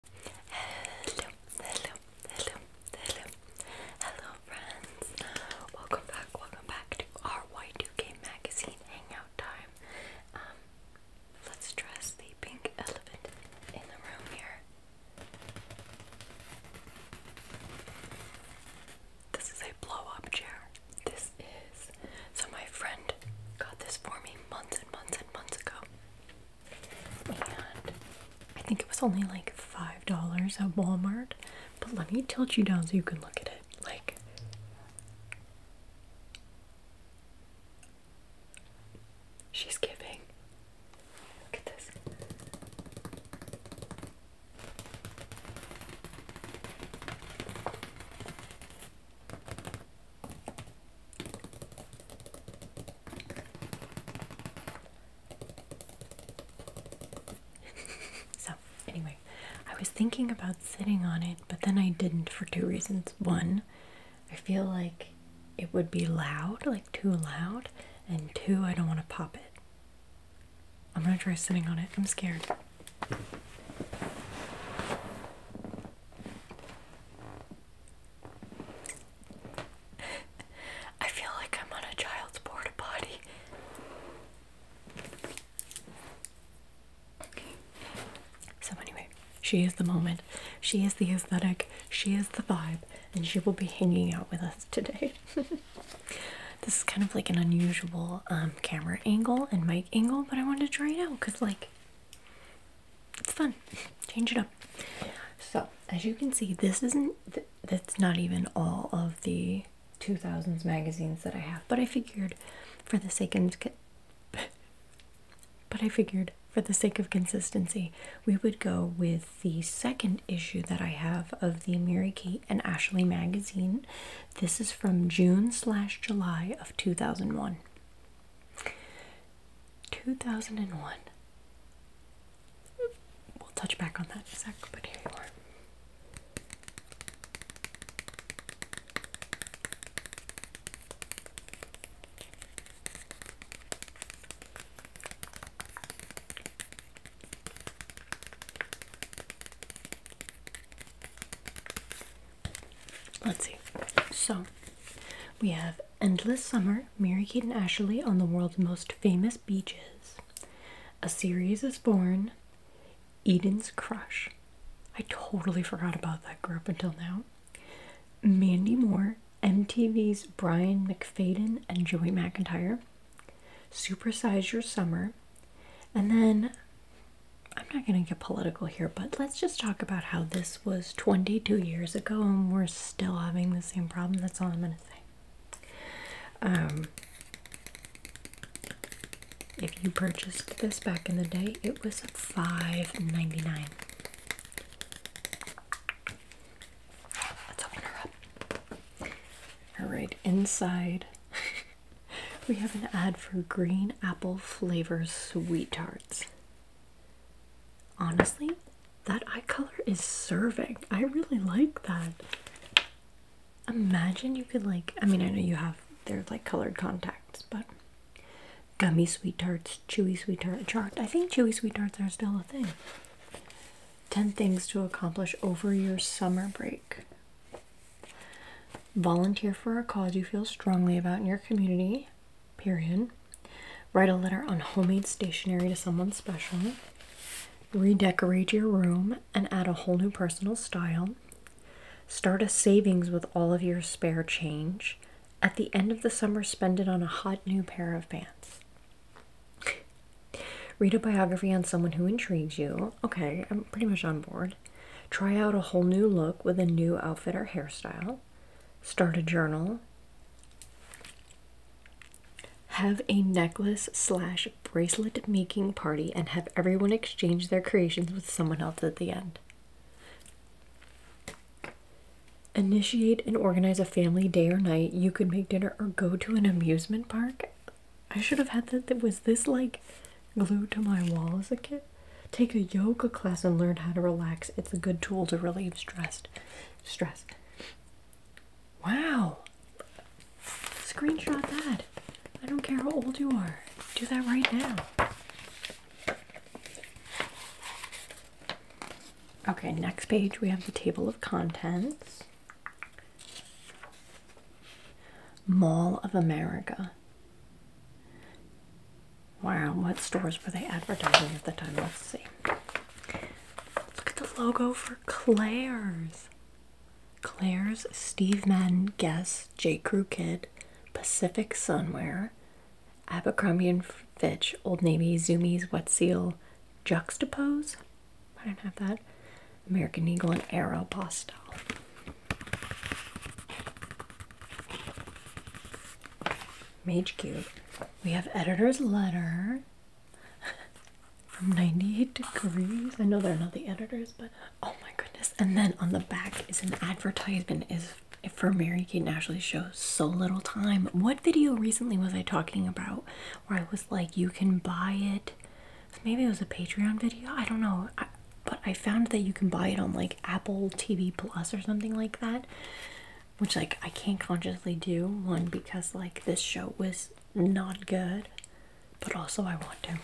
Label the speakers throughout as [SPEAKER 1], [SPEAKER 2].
[SPEAKER 1] Hello, hello, hello, hello, hello, friends. Welcome back, welcome back to our Y2K magazine hangout time. Um, let's dress the pink elephant in the room here. This is a blow up chair. This is so my friend got this for me months and months and months ago and I think it was only like five dollars at Walmart. But let me tilt you down so you can look at it. Like she's giving. Look at this. so, anyway, I was thinking about sitting on it, but then I didn't for two reasons. One, I feel like it would be loud, like too loud, and two, I don't want to pop it. I'm gonna try sitting on it. I'm scared. I feel like I'm on a child's porta potty. So, anyway, she is the moment. She is the aesthetic. She is the vibe. And she will be hanging out with us today. this is kind of like an unusual um, camera angle and mic angle, but I wanted to try it out because, like, it's fun change it up so as you can see this isn't that's not even all of the 2000s magazines that i have but i figured for the sake of but i figured for the sake of consistency we would go with the second issue that i have of the mary kate and ashley magazine this is from june slash july of 2001 2001. We'll touch back on that in a sec, but here you are. Let's see. So we have Endless Summer Mary Kate and Ashley on the world's most famous beaches. A series is born, Eden's Crush. I totally forgot about that group until now. Mandy Moore, MTV's Brian McFadden and Joey McIntyre. Supersize Your Summer. And then I'm not going to get political here, but let's just talk about how this was 22 years ago and we're still having the same problem. That's all I'm going to say. Um, if you purchased this back in the day, it was $5.99. Let's open her up. Alright, inside we have an ad for green apple flavor sweet tarts. Honestly, that eye color is serving. I really like that. Imagine you could like I mean I know you have they're like colored contacts, but gummy sweet tarts, chewy sweet tart chart. I think chewy sweet tarts are still a thing. 10 things to accomplish over your summer break. Volunteer for a cause you feel strongly about in your community. Period. Write a letter on homemade stationery to someone special. Redecorate your room and add a whole new personal style. Start a savings with all of your spare change. At the end of the summer, spend it on a hot new pair of pants. Read a biography on someone who intrigues you. Okay, I'm pretty much on board. Try out a whole new look with a new outfit or hairstyle start a journal, have a necklace slash bracelet making party, and have everyone exchange their creations with someone else at the end. Initiate and organize a family day or night. You could make dinner or go to an amusement park. I should have had that. That was this like glued to my wall as a kid. Take a yoga class and learn how to relax. It's a good tool to relieve stress stress. Wow. Screenshot that. I don't care how old you are. Do that right now. Okay, next page we have the table of contents. Mall of America. Wow, what stores were they advertising at the time? Let's see. Look at the logo for Claire's. Claire's, Steve Madden, Guess, J. Crew Kid, Pacific Sunwear, Abercrombie and Fitch, Old Navy, Zumi's, Wet Seal, Juxtapose. I don't have that. American Eagle and Aero Postel. Mage Cube. We have editor's letter from 98 degrees. I know they're not the editors, but oh my goodness. And then on the back is an advertisement is for Mary Kate and Ashley show so little time. What video recently was I talking about where I was like you can buy it? Maybe it was a Patreon video. I don't know. but I found that you can buy it on like Apple TV Plus or something like that which like I can't consciously do one because like this show was not good, but also I want to.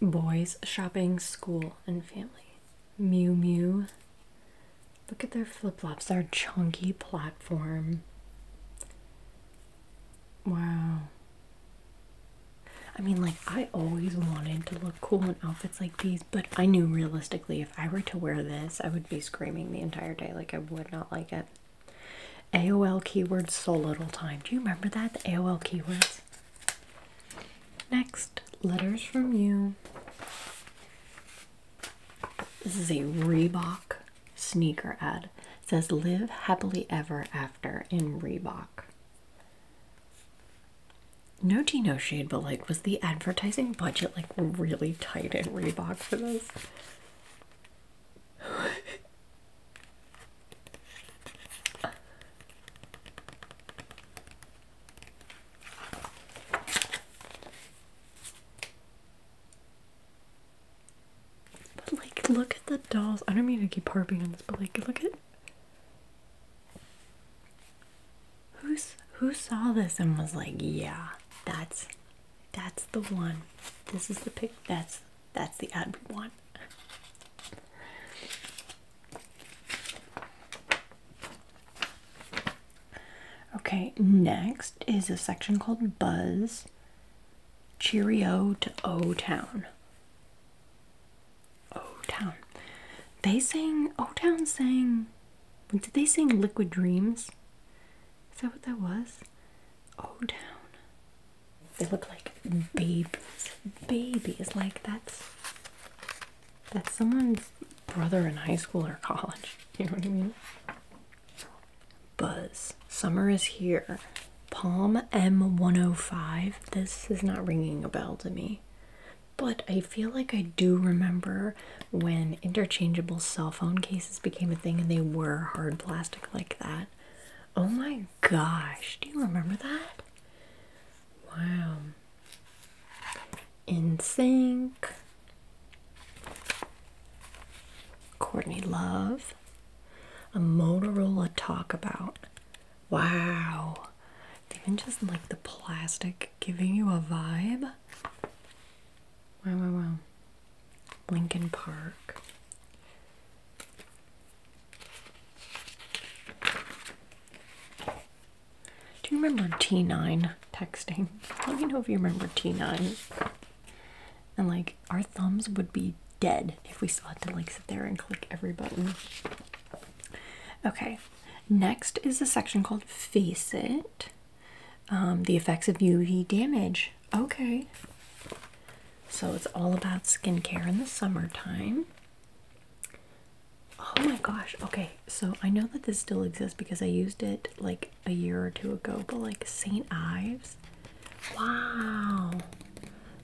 [SPEAKER 1] Boys shopping, school, and family. Mew Mew. Look at their flip flops, their chunky platform. Wow. I mean, like, I always wanted to look cool in outfits like these, but I knew realistically if I were to wear this, I would be screaming the entire day. Like, I would not like it. AOL keywords, so little time. Do you remember that? The AOL keywords. Next, letters from you. This is a Reebok sneaker ad. says live happily ever after in Reebok. No tea, no shade, but like, was the advertising budget like really tight in Reebok for this? But like, look at the dolls. I don't mean to keep harping on this, but like, look at who's who saw this and was like, yeah, that's that's the one. This is the pic. That's that's the ad we want. Okay, next is a section called Buzz. Cheerio to O Town. O Town. They sang, O Town sang, did they sing Liquid Dreams? Is that what that was? O Town. They look like babies. Babies. Like that's, that's someone's brother in high school or college. You know what I mean? buzz. Summer is here. Palm M105. This is not ringing a bell to me. But I feel like I do remember when interchangeable cell phone cases became a thing and they were hard plastic like that. Oh my gosh, do you remember that? Wow. In Sync. Courtney Love a Motorola talk about. Wow. Even just like the plastic giving you a vibe. Wow, wow, wow. Lincoln Park. Do you remember T9 texting? Let me know if you remember T9 and like our thumbs would be dead if we still had to like sit there and click every button. Okay, next is a section called Face It. Um, the effects of UV damage. Okay. So it's all about skincare in the summertime. Oh my gosh. Okay. So I know that this still exists because I used it like a year or two ago, but like St. Ives Wow.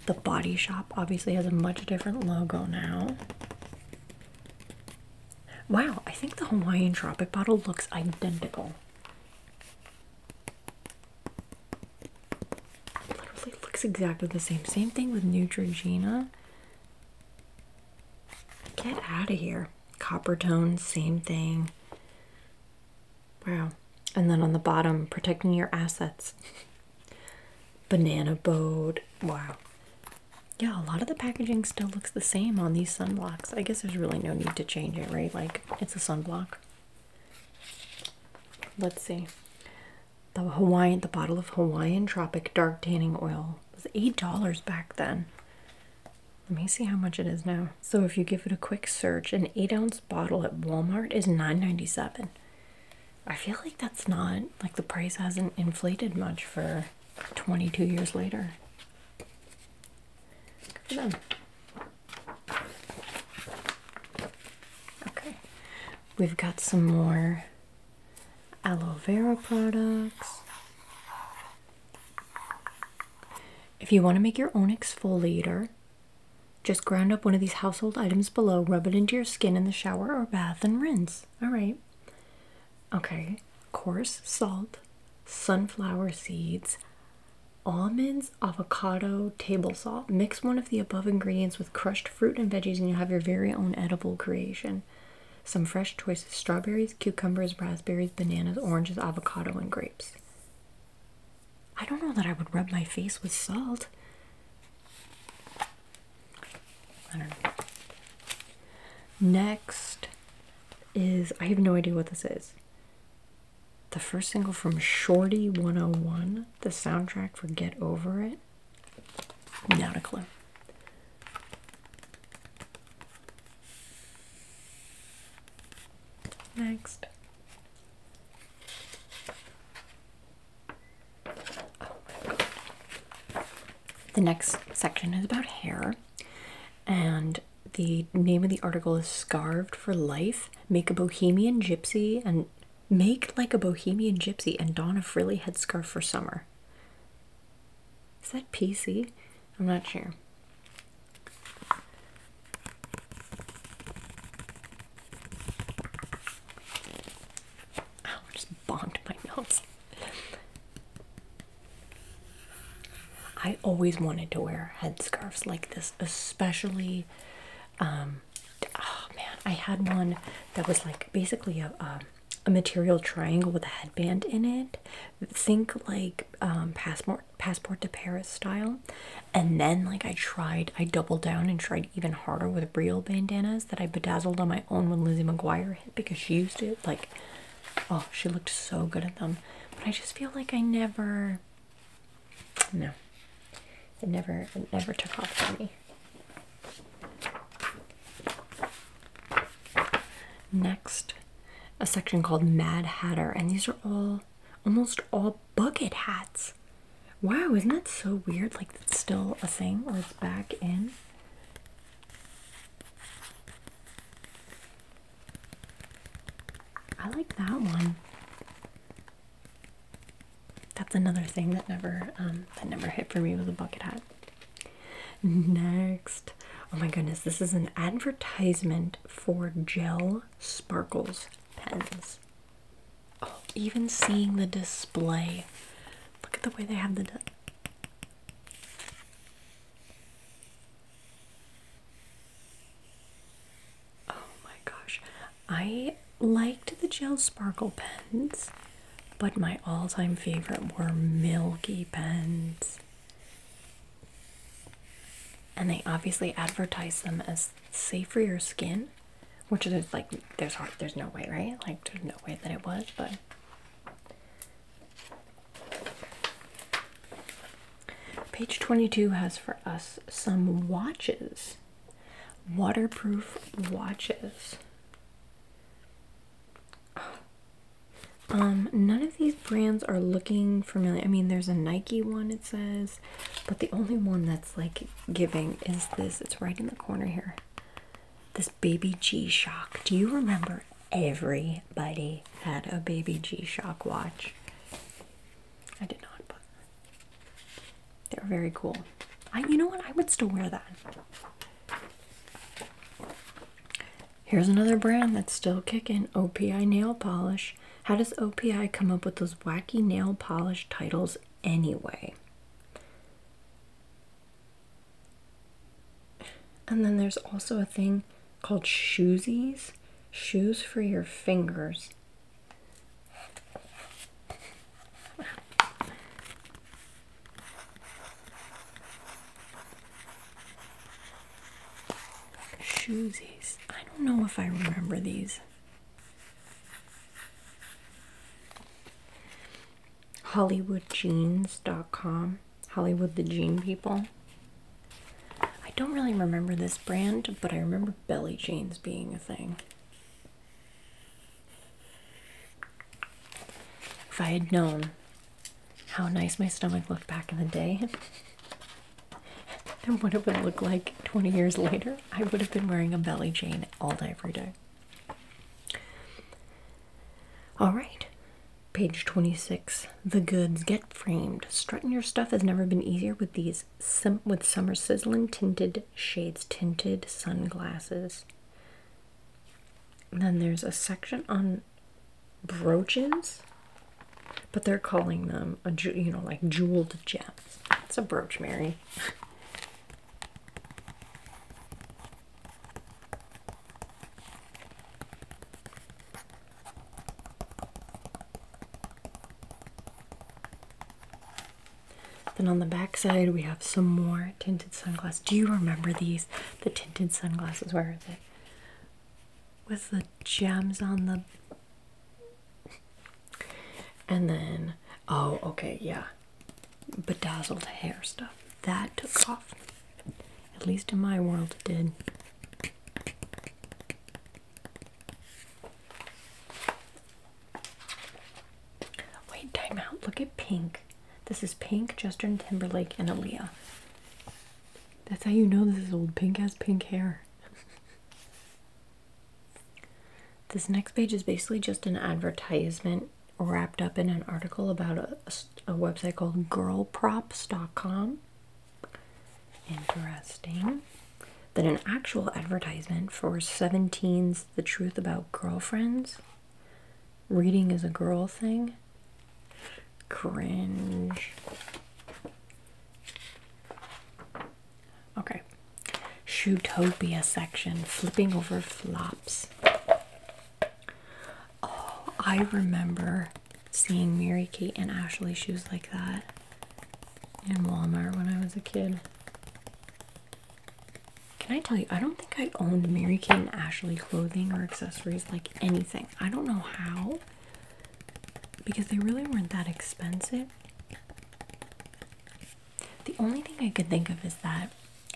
[SPEAKER 1] The Body Shop obviously has a much different logo now. Wow, I think the Hawaiian Tropic bottle looks identical. literally looks exactly the same. Same thing with Neutrogena. Get out of here. Copper tone, same thing. Wow. And then on the bottom, protecting your assets. Banana boat. Wow. Yeah, a lot of the packaging still looks the same on these sunblocks. I guess there's really no need to change it, right? Like, it's a sunblock. Let's see. The Hawaiian, the bottle of Hawaiian Tropic Dark Tanning Oil was $8 back then. Let me see how much it is now. So if you give it a quick search, an eight ounce bottle at Walmart is $9.97. I feel like that's not like the price hasn't inflated much for 22 years later. Okay, we've got some more aloe vera products. If you want to make your own exfoliator, just ground up one of these household items below, rub it into your skin in the shower or bath, and rinse. All right. Okay, coarse salt, sunflower seeds, almonds, avocado, table salt. Mix one of the above ingredients with crushed fruit and veggies, and you have your very own edible creation. Some fresh choices strawberries, cucumbers, raspberries, bananas, oranges, avocado, and grapes. I don't know that I would rub my face with salt. I don't know. Next is I have no idea what this is. The first single from Shorty 101, the soundtrack for Get Over It. Not a clue. Next. The next section is about hair, and the name of the article is Scarved for Life Make a Bohemian Gypsy and Make Like a Bohemian Gypsy and Don a Frilly Headscarf for Summer. Is that PC? I'm not sure. I just bombed my nose. I always wanted to wear headscarves like this, especially. Um, oh man, I had one that was like basically a, a, material triangle with a headband in it. Think like um, passport passport to Paris style. And then like I tried, I doubled down and tried even harder with real bandanas that I bedazzled on my own when Lizzie McGuire hit because she used it. Like, oh, she looked so good at them. But I just feel like I never no. It never it never took off for me. Next, a section called Mad Hatter, and these are all almost all bucket hats. Wow, isn't that so weird? Like it's still a thing or it's back in. I like that one. That's another thing that never um, that never hit for me was a bucket hat. Next, oh my goodness, this is an advertisement for gel sparkles pens even seeing the display. Look at the way they have the. Oh my gosh. I liked the gel sparkle pens, but my all time favorite were milky pens. And they obviously advertise them as safe for your skin, which is like there's there's no way, right? Like there's no way that it was, but page 22 has for us some watches, waterproof watches. Um, none of these brands are looking familiar. I mean, there's a Nike one, it says but the only one that's like giving is this. It's right in the corner here. This baby G Shock. Do you remember everybody had a baby G Shock watch? I did not, but they were very cool. I, you know what? I would still wear that. Here's another brand that's still kicking OPI nail polish how does OPI come up with those wacky nail polish titles anyway? And then there's also a thing called shoesies, shoes for your fingers. Shoesies. I don't know if I remember these. HollywoodJeans.com, Hollywood the Jean People. I don't really remember this brand, but I remember belly jeans being a thing. If I had known how nice my stomach looked back in the day, and what it would look like 20 years later, I would have been wearing a belly chain all day, every day. All right, page 26. The goods get framed. Strutting your stuff has never been easier with these with summer sizzling tinted shades, tinted sunglasses. then there's a section on brooches but they're calling them a you know like jeweled gems. It's a brooch, Mary. Then on the back side we have some more tinted sunglasses. Do you remember these? The tinted sunglasses, where is it? With the gems on the and then oh okay yeah bedazzled hair stuff that took off at least in my world it did wait time out look at pink this is pink justin timberlake and aaliyah that's how you know this is old pink has pink hair This next page is basically just an advertisement wrapped up in an article about a, a website called girlprops.com. Interesting. Then an actual advertisement for 17's The Truth About Girlfriends. Reading is a girl thing. Cringe. Okay. Shootopia section, flipping over flops. Oh, I remember seeing Mary Kate and Ashley shoes like that in Walmart when I was a kid. Can I tell you, I don't think I owned Mary Kate and Ashley clothing or accessories like anything. I don't know how because they really weren't that expensive. The only thing I could think of is that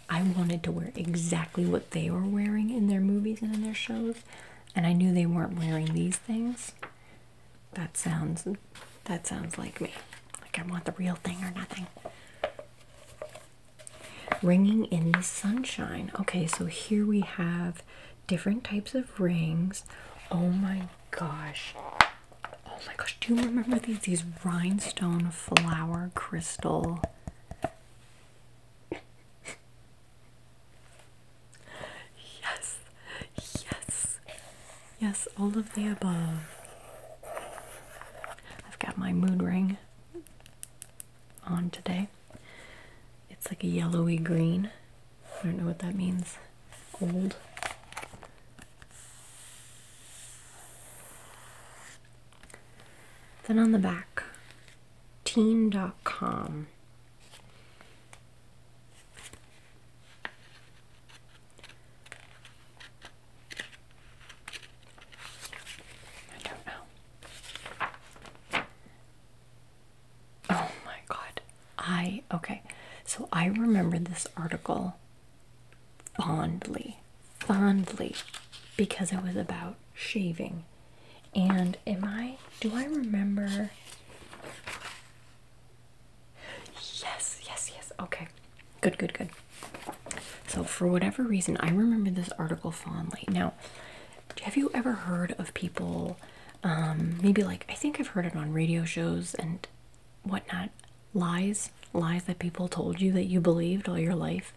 [SPEAKER 1] I wanted to wear exactly what they were wearing in their movies and in their shows, and I knew they weren't wearing these things. That sounds that sounds like me. Like I want the real thing or nothing. Ringing in the sunshine. Okay, so here we have different types of rings. Oh my gosh. Oh my gosh, do you remember these? These rhinestone flower crystal. yes, yes, yes, all of the above. I've got my mood ring on today. It's like a yellowy green. I don't know what that means. Old. Then on the back, teen.com. I don't know. Oh my god. I okay, so I remember this article fondly, fondly, because it was about shaving. And am I do I remember? Yes, yes, yes. Okay, good, good, good. So, for whatever reason, I remember this article fondly. Now, have you ever heard of people? Um, maybe like I think I've heard it on radio shows and what not, lies, lies that people told you that you believed all your life.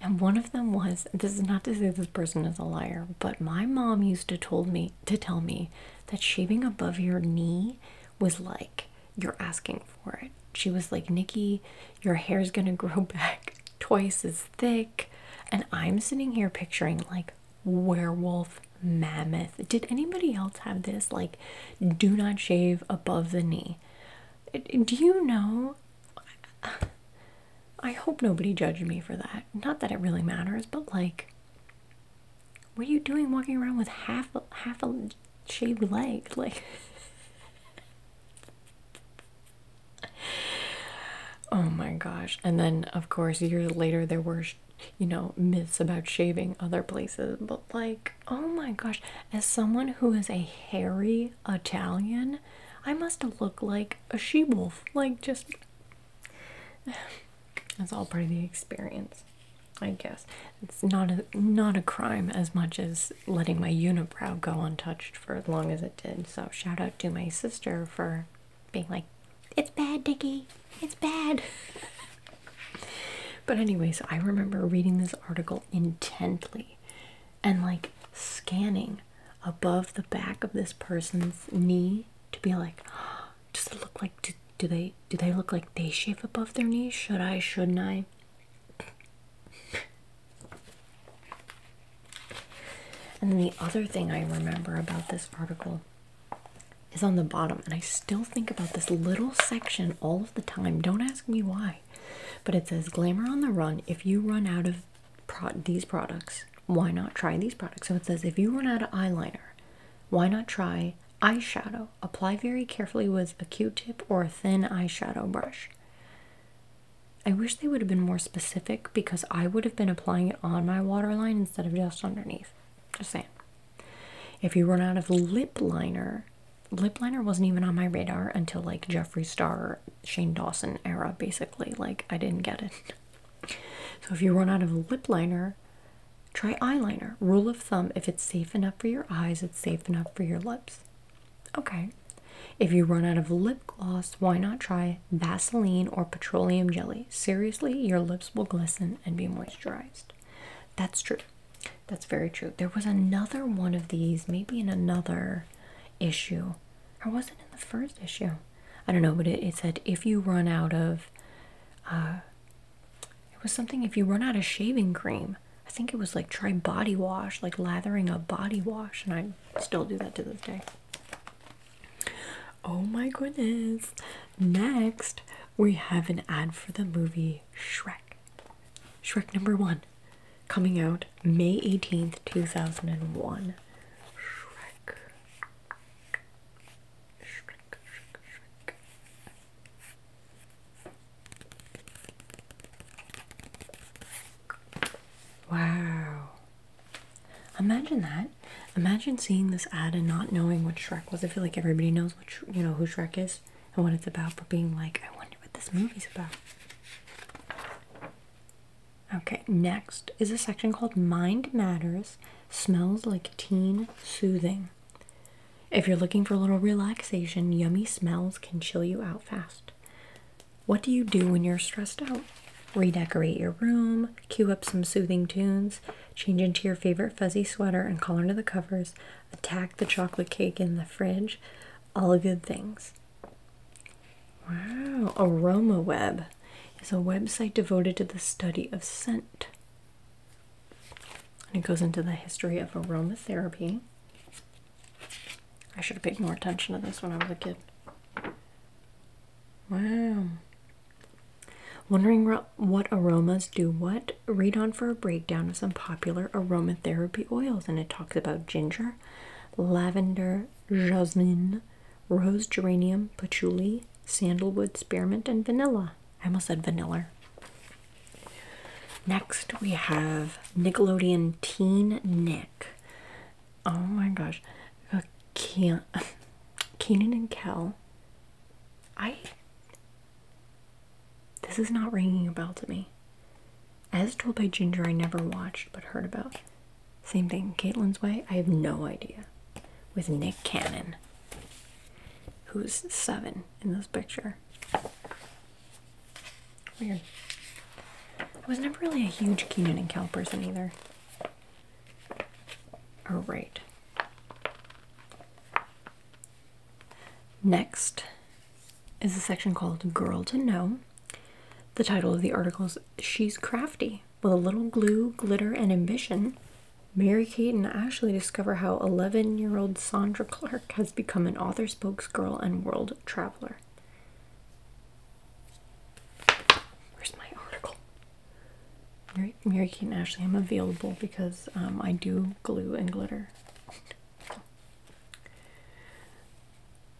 [SPEAKER 1] And one of them was this is not to say this person is a liar, but my mom used to told me to tell me that shaving above your knee was like you're asking for it. She was like, Nikki, your hair's gonna grow back twice as thick. And I'm sitting here picturing like werewolf mammoth. Did anybody else have this? Like, do not shave above the knee. Do you know? I hope nobody judged me for that. Not that it really matters, but like, what are you doing walking around with half a, half a shaved leg? Like, oh my gosh! And then, of course, years later, there were you know myths about shaving other places but like oh my gosh as someone who is a hairy italian i must look like a she wolf like just that's all part of the experience i guess it's not a not a crime as much as letting my unibrow go untouched for as long as it did so shout out to my sister for being like, it's bad, Dickie, it's bad. but, anyways, I remember reading this article intently and like scanning above the back of this person's knee to be like, does it look like, do, do they? Do they look like they shave above their knees? Should I? Shouldn't I? And then the other thing I remember about this article is on the bottom, and I still think about this little section all of the time. Don't ask me why, but it says Glamour on the Run. If you run out of pro these products, why not try these products? So it says if you run out of eyeliner, why not try eyeshadow? Apply very carefully with a q tip or a thin eyeshadow brush. I wish they would have been more specific because I would have been applying it on my waterline instead of just underneath. Just saying. If you run out of lip liner, lip liner wasn't even on my radar until like Jeffree Star, Shane Dawson era, basically. Like, I didn't get it. So, if you run out of lip liner, try eyeliner. Rule of thumb if it's safe enough for your eyes, it's safe enough for your lips. Okay. If you run out of lip gloss, why not try Vaseline or petroleum jelly? Seriously, your lips will glisten and be moisturized. That's true. That's very true. There was another one of these, maybe in another issue, I was not in the first issue? I don't know, but it, it said if you run out of, uh, it was something if you run out of shaving cream. I think it was like try body wash, like lathering a body wash, and I still do that to this day. Oh my goodness. Next, we have an ad for the movie Shrek. Shrek number one coming out May 18th, 2001. Shrek. Shrek, Shrek, Shrek. Wow. Imagine that. Imagine seeing this ad and not knowing what Shrek was. I feel like everybody knows what you know who Shrek is and what it's about, but being like, I wonder what this movie's about. Okay, next is a section called Mind Matters Smells Like Teen Soothing. If you're looking for a little relaxation, yummy smells can chill you out fast. What do you do when you're stressed out? Redecorate your room, cue up some soothing tunes, Change into your favorite fuzzy sweater and call into the covers. Attack the chocolate cake in the fridge. All good things. Wow. Aroma Web is a website devoted to the study of scent. And it goes into the history of aromatherapy. I should have paid more attention to this when I was a kid. Wow. Wondering what aromas do what? Read on for a breakdown of some popular aromatherapy oils, and it talks about ginger, lavender, jasmine, rose geranium, patchouli, sandalwood, spearmint, and vanilla. I almost said vanilla. Next, we have Nickelodeon Teen Nick. Oh my gosh, Keenan and Kel I. This is not ringing a bell to me. As told by Ginger, I never watched but heard about. Same thing, Caitlin's Way. I have no idea. With Nick Cannon, who's seven in this picture. Weird. I was never really a huge Keenan and Cal person either. All right. Next is a section called Girl to Know. The title of the article is She's Crafty with a Little Glue, Glitter, and Ambition. Mary Kate and Ashley discover how 11 year old Sandra Clark has become an author, spokesgirl, and world traveler. Where's my article? Mary, Mary Kate and Ashley, I'm available because um, I do glue and glitter.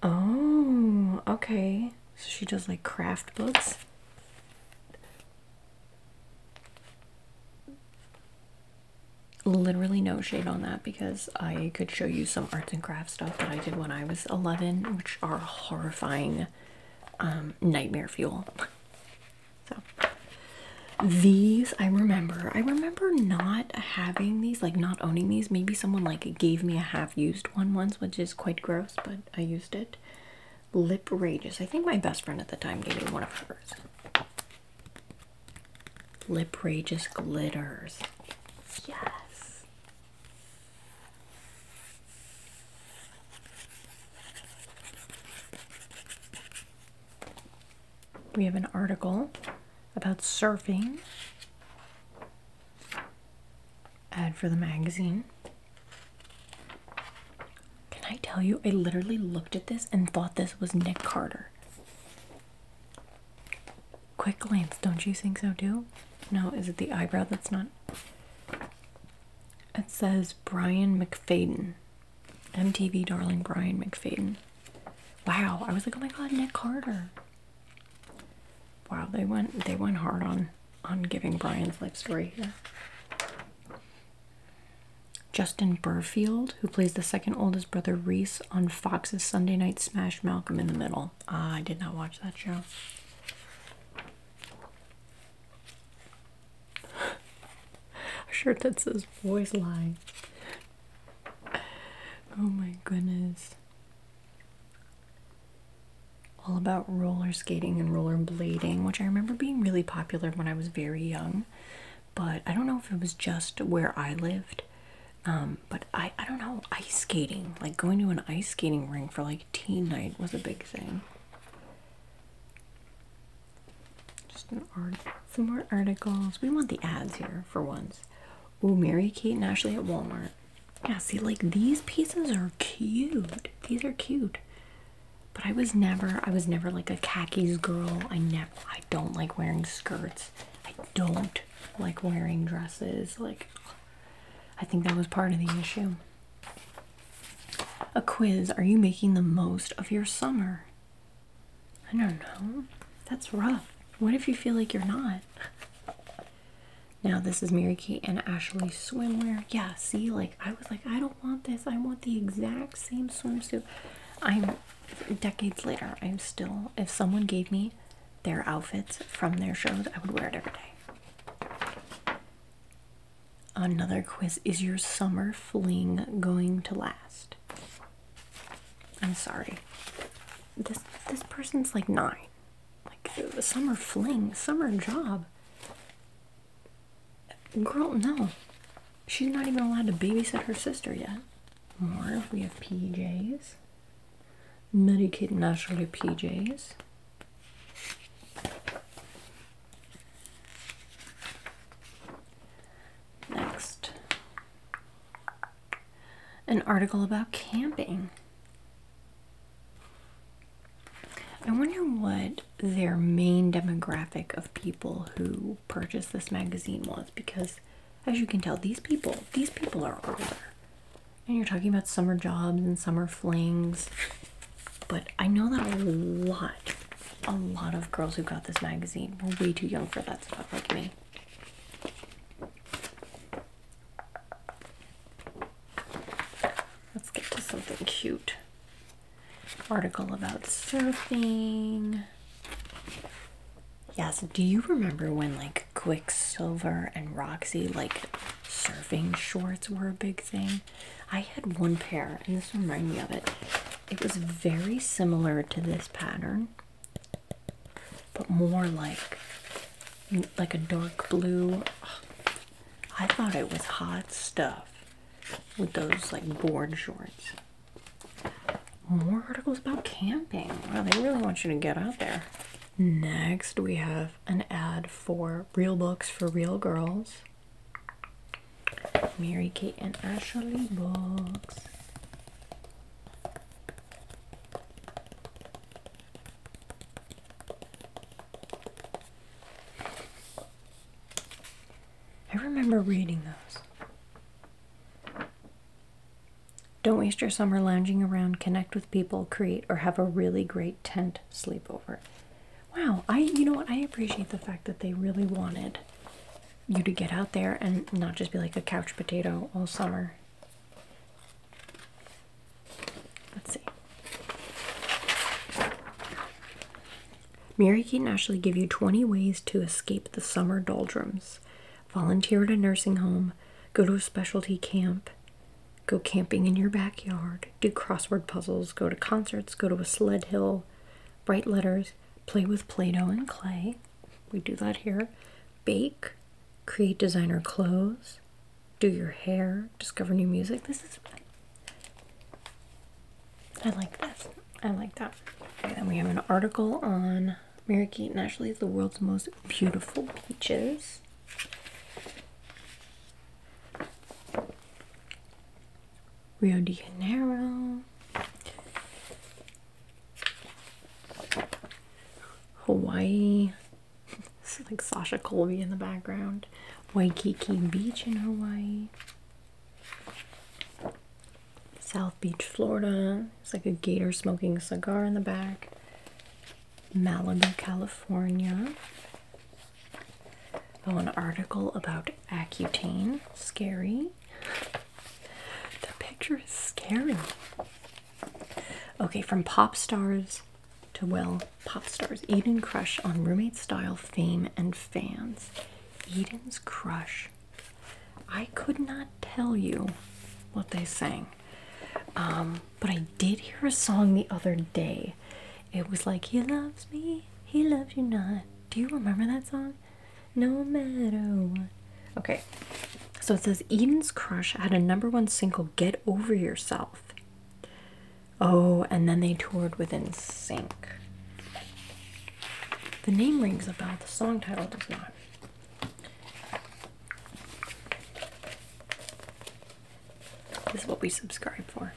[SPEAKER 1] Oh, okay. So she does like craft books. Literally no shade on that because I could show you some arts and crafts stuff that I did when I was 11, which are horrifying um, nightmare fuel. So these I remember. I remember not having these, like not owning these. Maybe someone like gave me a half-used one once, which is quite gross, but I used it. Lip Rages. I think my best friend at the time gave me one of hers. Lip Rages glitters. Yes. We have an article about surfing, ad for the magazine. Can I tell you, I literally looked at this and thought this was Nick Carter. Quick glance, don't you think so too? No, is it the eyebrow that's not? It says Brian McFadden. MTV darling Brian McFadden. Wow, I was like, oh my god, Nick Carter. Wow, they went they went hard on on giving Brian's life story here. Justin Burfield, who plays the second oldest brother Reese on Fox's Sunday Night Smash Malcolm in the Middle. Ah, I did not watch that show a shirt that says boys lie. Oh my goodness. All about roller skating and roller blading, which I remember being really popular when I was very young, but I don't know if it was just where I lived. Um, but I, I don't know, ice skating, like going to an ice skating rink for like teen night was a big thing. Just some more articles. We want the ads here for once. Oh, Mary Kate and Ashley at Walmart. Yeah, see, like these pieces are cute. These are cute. But I was never, I was never like a khakis girl. I never, I don't like wearing skirts. I don't like wearing dresses. Like, I think that was part of the issue. A quiz Are you making the most of your summer? I don't know. That's rough. What if you feel like you're not? Now, this is Mary Kate and Ashley swimwear. Yeah, see, like I was like, I don't want this. I want the exact same swimsuit. I'm decades later, I'm still, if someone gave me their outfits from their shows, I would wear it every day. Another quiz Is your summer fling going to last? I'm sorry. This this person's like nine. Like the summer fling, summer job. Girl, no. She's not even allowed to babysit her sister yet. More, we have PJs. Medicaid naturally PJs. Next, an article about camping. I wonder what their main demographic of people who purchase this magazine was because as you can tell these people these people are older and you're talking about summer jobs and summer flings but I know that a lot, a lot of girls who got this magazine were way too young for that stuff, like me. Let's get to something cute. Article about surfing. Yes, do you remember when like Quicksilver and Roxy like surfing shorts were a big thing? I had one pair, and this reminded me of it. It was very similar to this pattern, but more like like a dark blue. I thought it was hot stuff with those like board shorts. More articles about camping. Wow, they really want you to get out there. Next, we have an ad for Real Books for Real Girls. Mary Kate and Ashley books. I remember reading those. Don't waste your summer lounging around, connect with people, create, or have a really great tent sleepover. Wow, I you know what I appreciate the fact that they really wanted you to get out there and not just be like a couch potato all summer. Let's see. Mary Keaton actually give you 20 ways to escape the summer doldrums. Volunteer at a nursing home, go to a specialty camp, go camping in your backyard, do crossword puzzles, go to concerts, go to a sled hill, Write letters, play with Play Doh and clay. We do that here. Bake, create designer clothes, do your hair, discover new music. This is. I like this. I like that. Okay, then we have an article on Mary Kate and Ashley's The World's Most Beautiful Peaches. Rio de Janeiro, Hawaii. it's like Sasha Colby in the background. Waikiki Beach in Hawaii. South Beach, Florida. It's like a gator smoking a cigar in the back. Malibu, California. Oh, an article about Accutane. Scary. The picture is scary. Okay, from pop stars to well, pop stars. Eden crush on roommate style fame and fans. Eden's crush. I could not tell you what they sang, um, but I did hear a song the other day. It was like he loves me, he loves you not. Do you remember that song? No matter Okay. So it says Eden's Crush had a number one single, Get Over Yourself. Oh, and then they toured with Sync. The name rings a bell, the song title does not. This is what we subscribe for.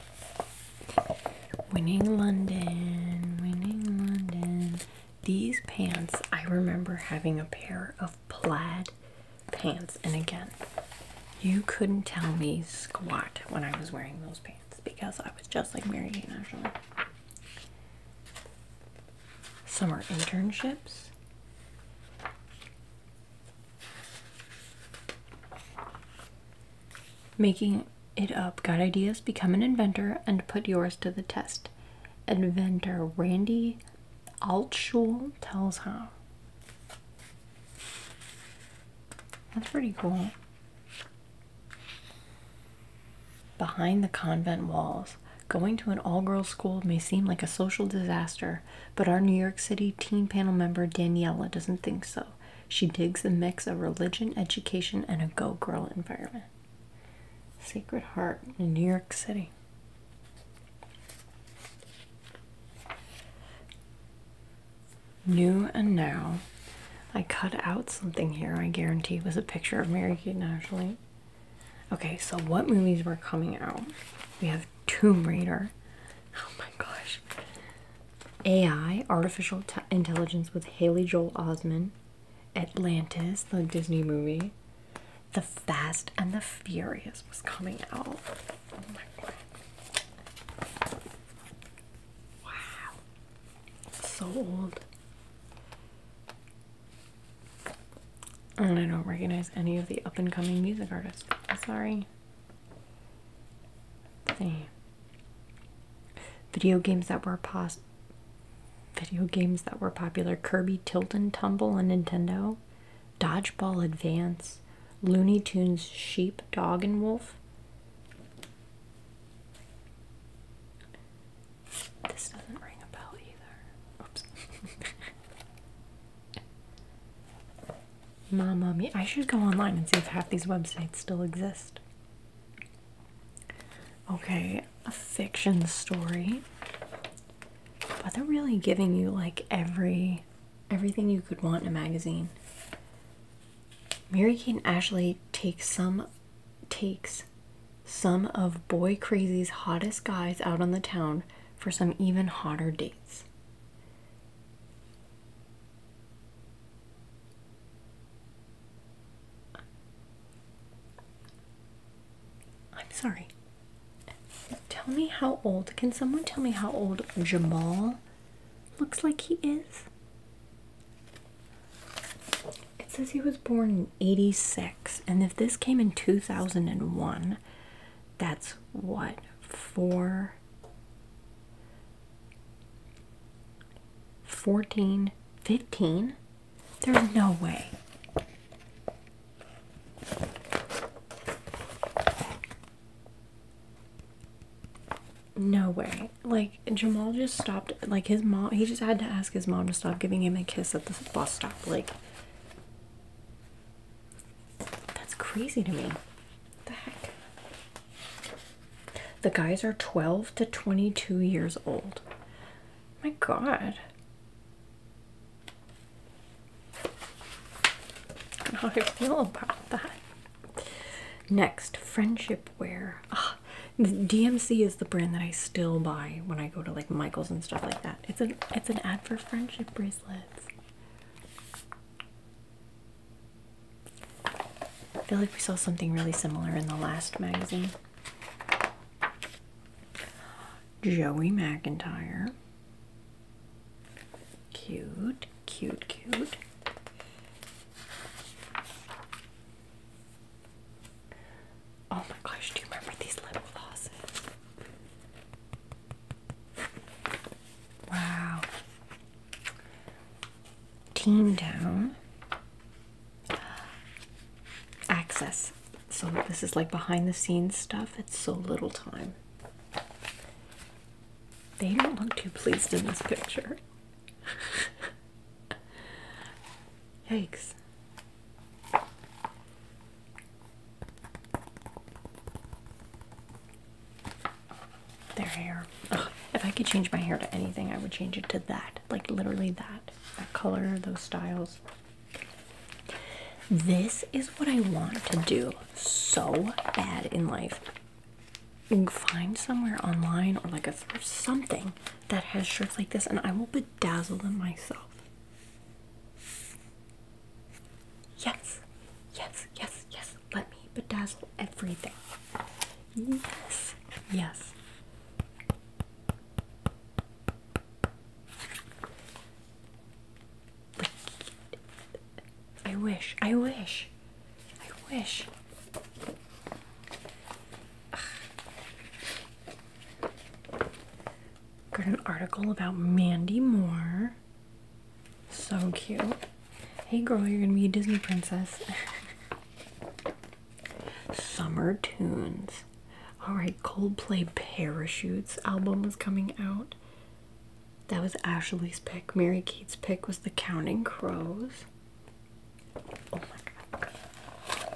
[SPEAKER 1] Winning London, winning London. These pants, I remember having a pair of plaid pants, and again, you couldn't tell me squat when I was wearing those pants because I was just like Mary Kate National. Summer internships. Making it up, got ideas, become an inventor, and put yours to the test. Inventor Randy Altschul tells how. That's pretty cool. Behind the convent walls, going to an all girls school may seem like a social disaster, but our New York City Teen Panel member Daniela doesn't think so. She digs the mix of religion, education, and a go girl environment. Sacred Heart in New York City. New and now, I cut out something here. I guarantee it was a picture of Mary Kate and Ashley. Okay, so what movies were coming out? We have Tomb Raider. Oh my gosh, AI, Artificial Intelligence with Haley Joel Osment, Atlantis, the Disney movie, The Fast and the Furious was coming out. Oh wow. So old. And I don't recognize any of the up and coming music artists. Sorry. let Video games that were pos video games that were popular: Kirby, Tilt and Tumble and Nintendo, Dodgeball Advance, Looney Tunes, Sheep, Dog and Wolf. This doesn't ring a bell either. Oops. Mama me. I should go online and see if half these websites still exist. Okay, a fiction story. But they're really giving you like every everything you could want in a magazine. Mary Kate and Ashley takes some takes some of Boy Crazy's hottest guys out on the town for some even hotter dates. I'm sorry. Tell me how old. Can someone tell me how old Jamal looks like he is? It says he was born in 86, and if this came in 2001, that's what? Four? 14, 15? There's no way. No way. Like, Jamal just stopped, like, his mom, he just had to ask his mom to stop giving him a kiss at the bus stop. Like, that's crazy to me the heck? The guys are 12 to 22 years old. My God. how do I feel about that? Next, friendship wear. Ah, DMC is the brand that I still buy when I go to like Michaels and stuff like that. It's an it's an ad for friendship bracelets. I feel like we saw something really similar in the last magazine. Joey McIntyre. Cute, cute, cute. Oh my gosh, do you remember these lip glosses? Wow team down access. So this is like behind the scenes stuff. It's so little time. They don't look too pleased in this picture. Yikes their hair. if I could change my hair to anything, I would change it to that. Like literally that. That color, those styles. This is what I want to do so bad in life. Find somewhere online or like a thrift something that has shirts like this, and I will bedazzle them myself. Yes, yes, yes, yes. Let me bedazzle everything. Yes, yes. I wish, I wish, I wish. Ugh. Got an article about Mandy Moore. So cute. Hey girl, you're gonna be a Disney princess. Summer tunes. Alright, Coldplay Parachutes album was coming out. That was Ashley's pick. Mary Kate's pick was The Counting Crows. Oh my god.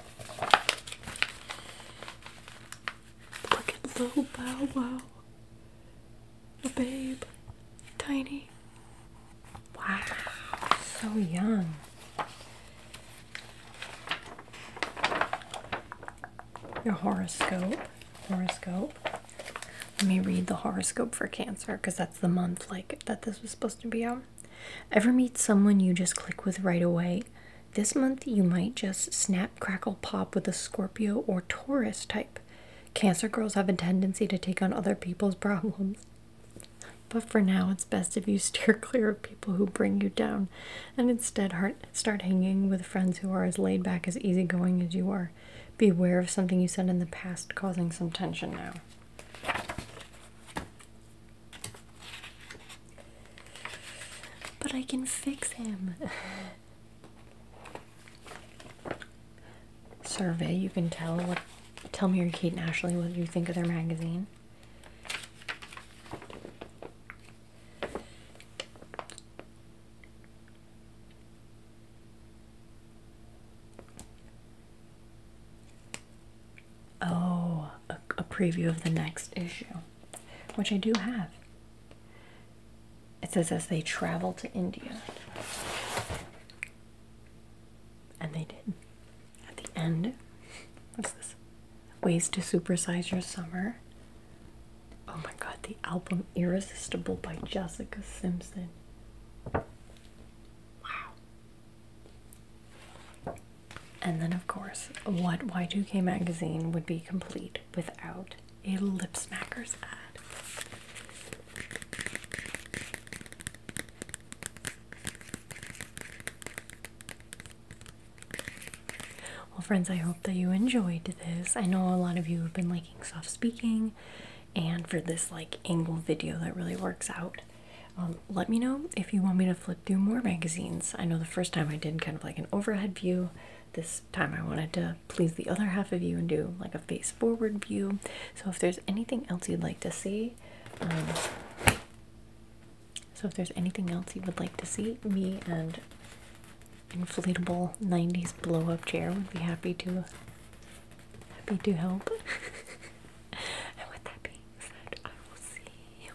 [SPEAKER 1] Look at little Bow Wow. A babe. Tiny. Wow, so young. Your horoscope. Horoscope. Let me read the horoscope for Cancer because that's the month like that this was supposed to be on. Ever meet someone you just click with right away? This month you might just snap, crackle, pop with a Scorpio or Taurus type. Cancer girls have a tendency to take on other people's problems. But for now, it's best if you steer clear of people who bring you down and instead start hanging with friends who are as laid back, as easygoing as you are. Beware of something you said in the past causing some tension now. But I can fix him. survey, you can tell what tell Mary Kate and Ashley what you think of their magazine. Oh, a preview of the next issue, which I do have. It says as they travel to India. And they did. At the end, what's this? Ways to Supersize Your Summer. Oh my god, the album Irresistible by Jessica Simpson. Wow. And then, of course, what Y2K magazine would be complete without a Lip Smackers ad? Well, friends, I hope that you enjoyed this. I know a lot of you have been liking soft speaking and for this like angle video that really works out. Um, let me know if you want me to flip through more magazines. I know the first time I did kind of like an overhead view. This time I wanted to please the other half of you and do like a face forward view. So if there's anything else you'd like to see, um, so if there's anything else you would like to see, me and inflatable 90s blow-up chair would be happy to happy to help. and with that being said, I will see you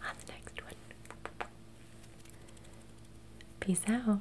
[SPEAKER 1] on the next one. Peace out.